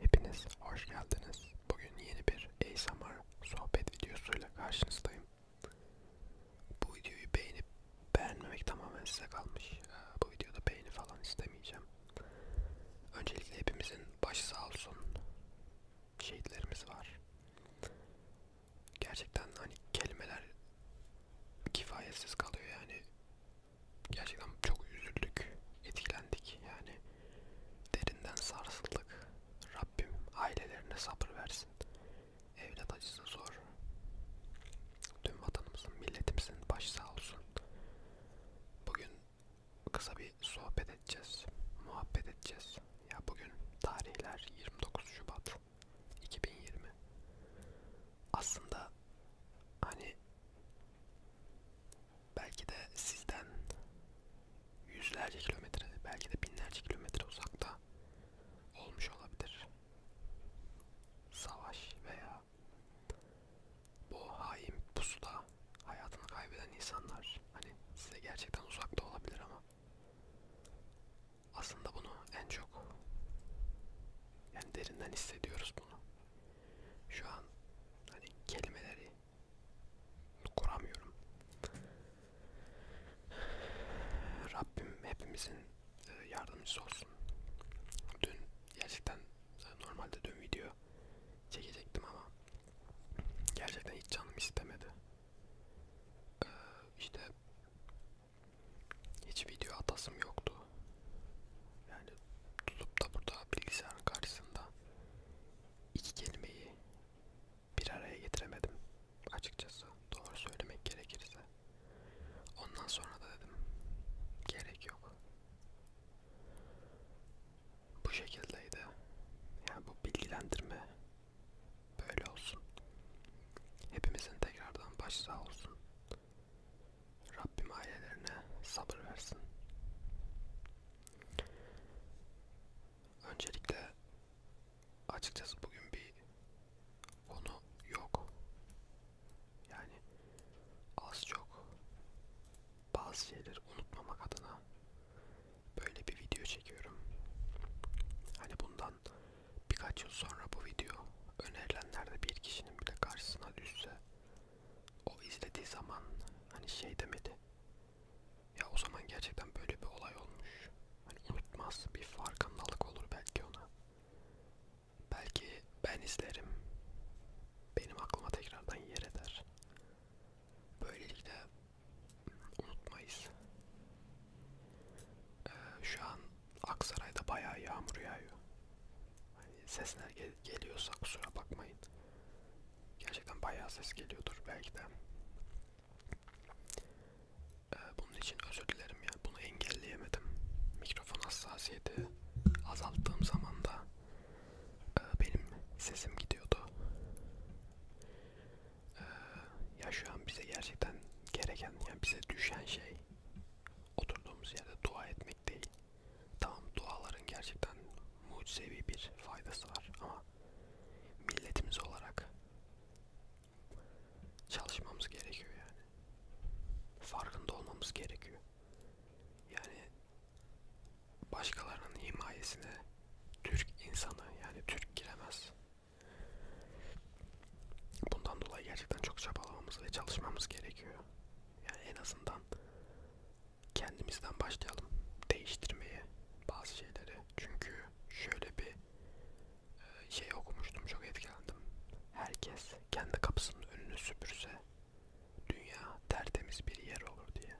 Hepiniz hoş geldiniz. Bugün yeni bir ASMR sohbet videosuyla karşınızdayım. Bu videoyu beğenip beğenmemek tamamen size kalmış. Ee, bu videoda beğeni falan istemeyeceğim. Öncelikle hepimizin başı sağ olsun. Şehitlerimiz var. Gerçekten hani kelimeler kifayetsiz kalıyor yani gerçekten çok üzüldük, etkilendik yani derinden sarsıldık. Rabbim ailelerine sabır versin. Evlat acısı zor. Tüm vatanımızın, milletimizin başı sağ olsun. Bugün kısa bir sohbet edeceğiz, muhabbet edeceğiz. Ya bugün tarihler 29 Şubat 2020. Aslında hani belki de sizden yüzlerce kilometre, belki de binlerce kilometre uzakta olmuş olabilir. Savaş veya bu hain pusuda hayatını kaybeden insanlar hani size gerçekten uzakta olabilir ama aslında bunu en çok yani derinden hissediyoruz bunu. Şu an hani kelimeleri kuramıyorum. Rabbim hepimizin e, yardımcısı olsun. Dün gerçekten e, normalde dün video çekecektim ama gerçekten hiç canım istemedi. Ee, işte hiç video atasım yoktu. Yani tutup da burada bilgisayarın karşısında iki kelimeyi bir araya getiremedim açıkçası doğru söylemek gerekirse. Ondan sonra da dedim gerek yok. Bu şekildeydi. Yani bu bilgilendirme böyle olsun. Hepimizin tekrardan baş sağ olsun. Rabbim ailelerine sabır versin. Öncelikle açıkçası bugün bir konu yok. Yani az çok bazı şeyleri unutmamak adına böyle bir video çekiyorum. Hani bundan birkaç yıl sonra bu video önerilenlerde bir kişinin bile karşısına düşse o izlediği zaman hani şey demedi. Ya o zaman gerçekten böyle bir olay olmuş. Hani unutmaz bir farkındalık olur belki ona. Belki ben izlerim. Benim aklıma tekrardan yer eder. Böylelikle unutmayız. Ee, şu an Aksaray'da bayağı yağmur yağıyor. Hani sesler gel geliyorsa kusura bakmayın. Gerçekten bayağı ses geliyordur belki de. Ee, bunun için özür dilerim ya. Bunu engelleyemedim. Mikrofon hassasiyeti azalttığım zaman da e, benim sesim gidiyordu. Ee, ya şu an bize gerçekten gereken, yani bize düşen şey oturduğumuz yerde dua etmek değil. Tamam duaların gerçekten mucizevi bir faydası var ama milletimiz olarak çalışmamız gerekiyor yani. Farkında olmamız gerekiyor. Yani başkalarının himayesine Türk insanı yani Türk giremez. Bundan dolayı gerçekten çok çabalamamız ve çalışmamız gerekiyor. Yani en azından kendimizden başlayalım değiştirmeye bazı şeyleri. Çünkü şöyle bir e, şey okumuştum çok etkilendim. Herkes kendi kapısının önünü süpürse dünya tertemiz bir yer olur diye.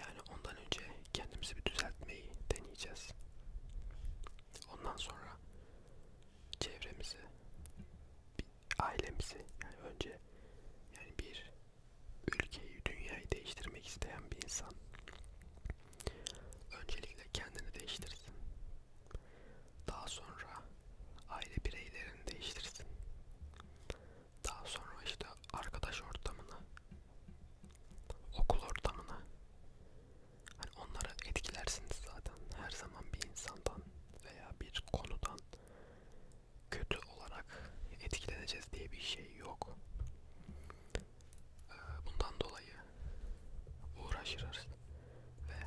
Yani ondan önce kendimizi bir düzeltmeyi deneyeceğiz. Ondan sonra çevremizi bir ailemizi yani önce yani bir ülkeyi, dünyayı değiştirmek isteyen bir insan öncelikle kendini değiştirsin. Daha sonra aile bireylerini değiştirsin. Daha sonra işte arkadaş ortamını, okul ortamını hani onlara etkilersiniz zaten her zaman bir insandan veya bir konudan kötü olarak etkileneceğiz diye bir şey yok. Ee, bundan dolayı uğraşırız ve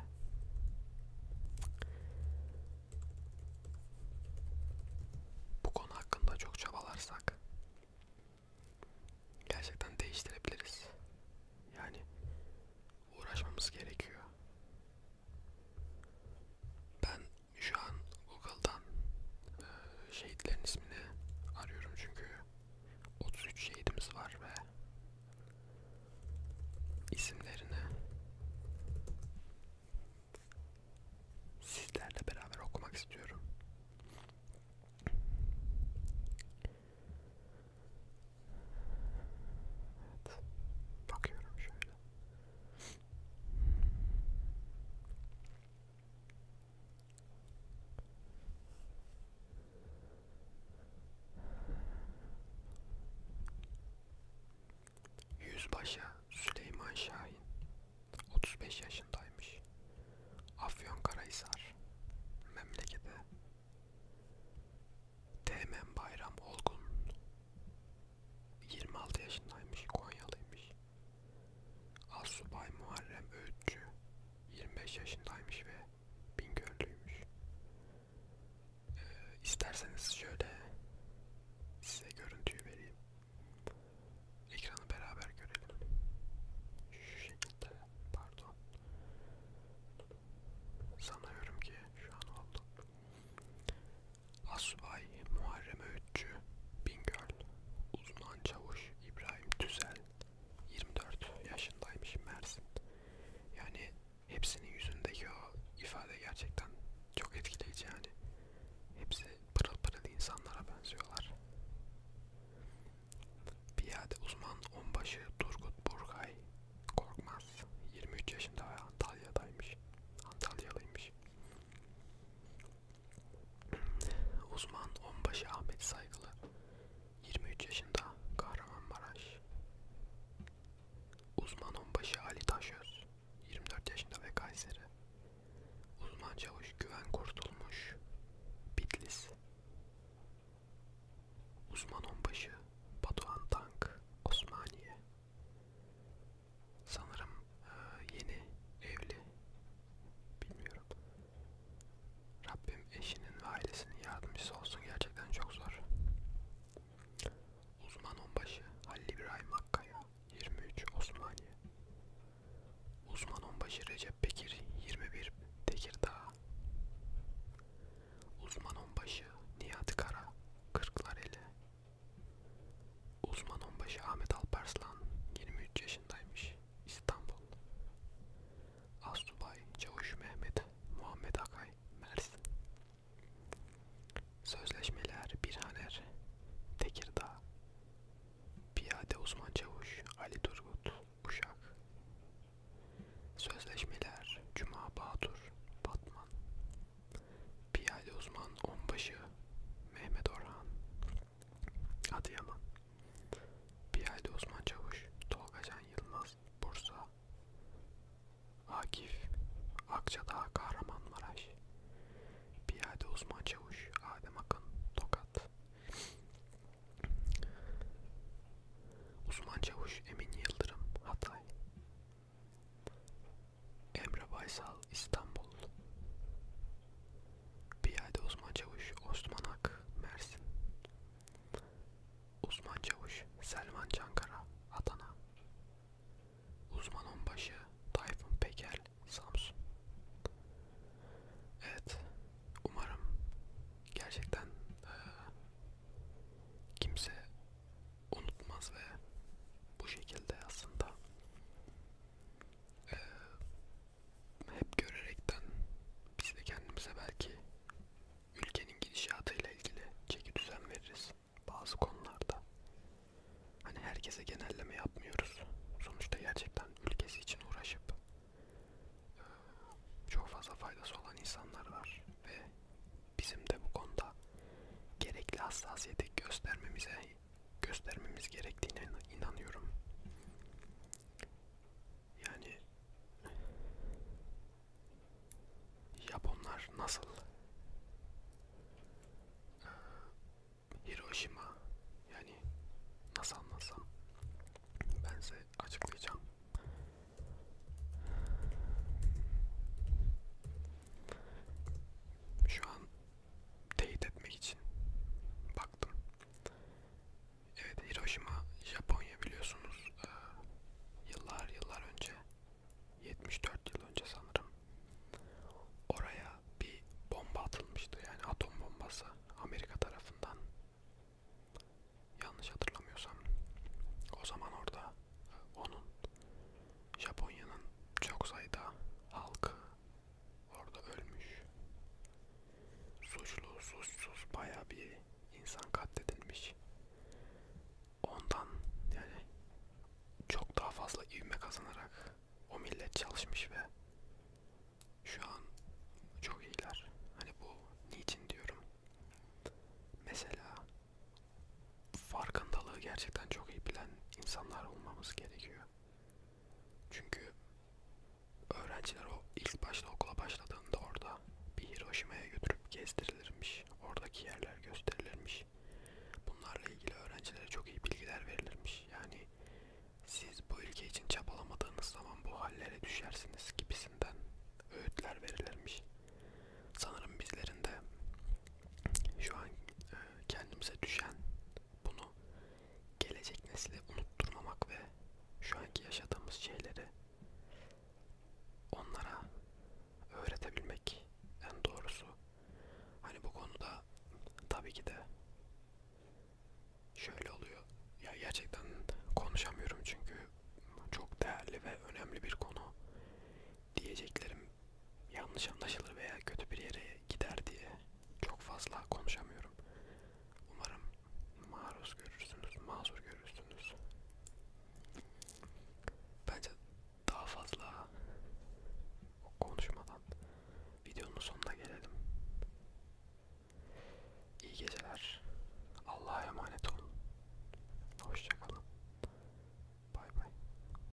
bu konu hakkında çok çabalarsak gerçekten değiştirebiliriz. Yani uğraşmamız gerekiyor. Ben şu an Google'dan e, şehitlerin ismini arıyorum çünkü 33 şehidimiz var ve isimlerini sizlerle beraber okumak istiyorum. Evet, bakıyorum şöyle. Yüzbaşı Süleyman Şahin 35 yaşındaymış. Afyonkarahisar memleketi Teğmen Bayram Olgun 26 yaşındaymış, Konyalıymış. Assubay Muharrem Öğütçü 25 yaşındaymış ve Bingöllüymüş. Ee, isterseniz şöyle size görüntüyü vereyim. Ekranı beraber görelim. Şu şekilde, pardon. Sanıyorum ki şu an oldu. Asubay Muharrem Öğütçü Bingöl Uzman Çavuş İbrahim Tüzel 24 yaşındaymış Mersin Yani hepsinin yüzündeki o ifade gerçekten çok etkileyici yani Hepsi pırıl pırıl insanlara benziyorlar Piyade uzman onbaşı Turgut Burkay Korkmaz 23 yaşında ve Antalya'daymış Antalyalıymış Uzman Onbaşı Ahmet Saygılı 23 yaşında Kahramanmaraş Uzman Onbaşı Ali Taşöz 24 yaşında ve Kayseri Uzman Çavuş Güven Kurtulmuş Bitlis Uzman Onbaşı Batuhan Tank Osmaniye Sanırım e, yeni evli. Bilmiyorum. Rabbim eşinin ve ailesinin yardımcısı olsun gerçekten çok zor. Uzman onbaşı Halil İbrahim Akkaya 23 Osmaniye. Uzman onbaşı Recep Bekir 21 Tekirdağ. Uzman onbaşı Nihat Kara Kırklareli Uzman onbaşı Ahmet Alparslan 23 yaşındaymış. İstanbul. Asubay Çavuş Mehmet Muhammed Akay Mersin. Sözleşmeler Birhaner Tekirdağ. Piyade Uzman Çavuş Ali Turgut Uşak. Sözleşmeler Cuma Bahadır Batman Piyade uzman onbaşı Mehmet Orhan Adıyaman Piyade uzman çavuş Tolga Can Yılmaz Bursa Akif Akçadağ Kahramanmaraş Piyade uzman çavuş Adem Akın Tokat Uzman çavuş Emin Yıldırım Hatay Emre Baysal İstanbul Piyade Uzman Çavuş Osman Ak Mersin Uzman Çavuş Selman Çankara Adana Uzman Onbaşı Tayfun Peker Samsun Evet umarım gerçekten e, kimse unutmaz ve bu şekilde aslında e, hep görerekten biz de kendimize belki ülkenin gidişatıyla ilgili çeki düzen veririz bazı konularda. Hani herkese genelleme yapmıyoruz. Sonuçta gerçekten ülkesi için uğraşıp e, çok fazla faydası olan insanlar var ve bizim de bu konuda gerekli hassasiyeti göstermemize göstermemiz gerektiğine inanıyorum. Yani Japonlar nasıl ee, Hiroşima yani nasıl anlatsam ben size açıklayacağım. Şu an teyit etmek için baktım. Evet Hiroşima Japonya biliyorsunuz ee, yıllar yıllar önce 74 yıl önce sanırım oraya bir bomba atılmıştı yani atom bombası Amerika tarafından yanlış hatırlamıyorsam o zaman orada onun Japonya'nın çok sayıda halkı orada ölmüş. Suçlu, suçsuz bayağı bir insan katledilmiş. Ondan yani çok daha fazla ivme kazanarak o millet çalışmış ve şu an çok iyiler. Hani bu niçin diyorum. Mesela farkındalığı gerçekten çok iyi bilen insanlar olmamız gerekiyor. Çünkü öğrenciler o ilk başta okula başladığında orada bir Hiroşima'ya götürüp gezdirilirmiş. Oradaki yerler gösterilirmiş. Bunlarla ilgili öğrencilere çok iyi bilgiler verilirmiş. Yani siz bu ülke için çabalamadığınız zaman bu hallere düşersiniz gibisinden öğütler verilirmiş. Sanırım bizlerin de şu an e, kendimize düşen bunu gelecek nesile unutturmamak ve şu anki yaşadığımız şeyleri onlara öğretebilmek en doğrusu. Hani bu konuda tabii ki de şöyle oluyor. Ya gerçekten konuşamıyorum çünkü çok değerli ve önemli bir konu. Diyeceklerim yanlış anlaşılır veya kötü bir yere gider diye çok fazla konuşamıyorum. Umarım maruz görürsünüz, mazur görürsünüz. Bence daha fazla konuşmadan videonun sonuna gelelim. İyi geceler. Allah'a emanet olun. Hoşçakalın. Bay bay.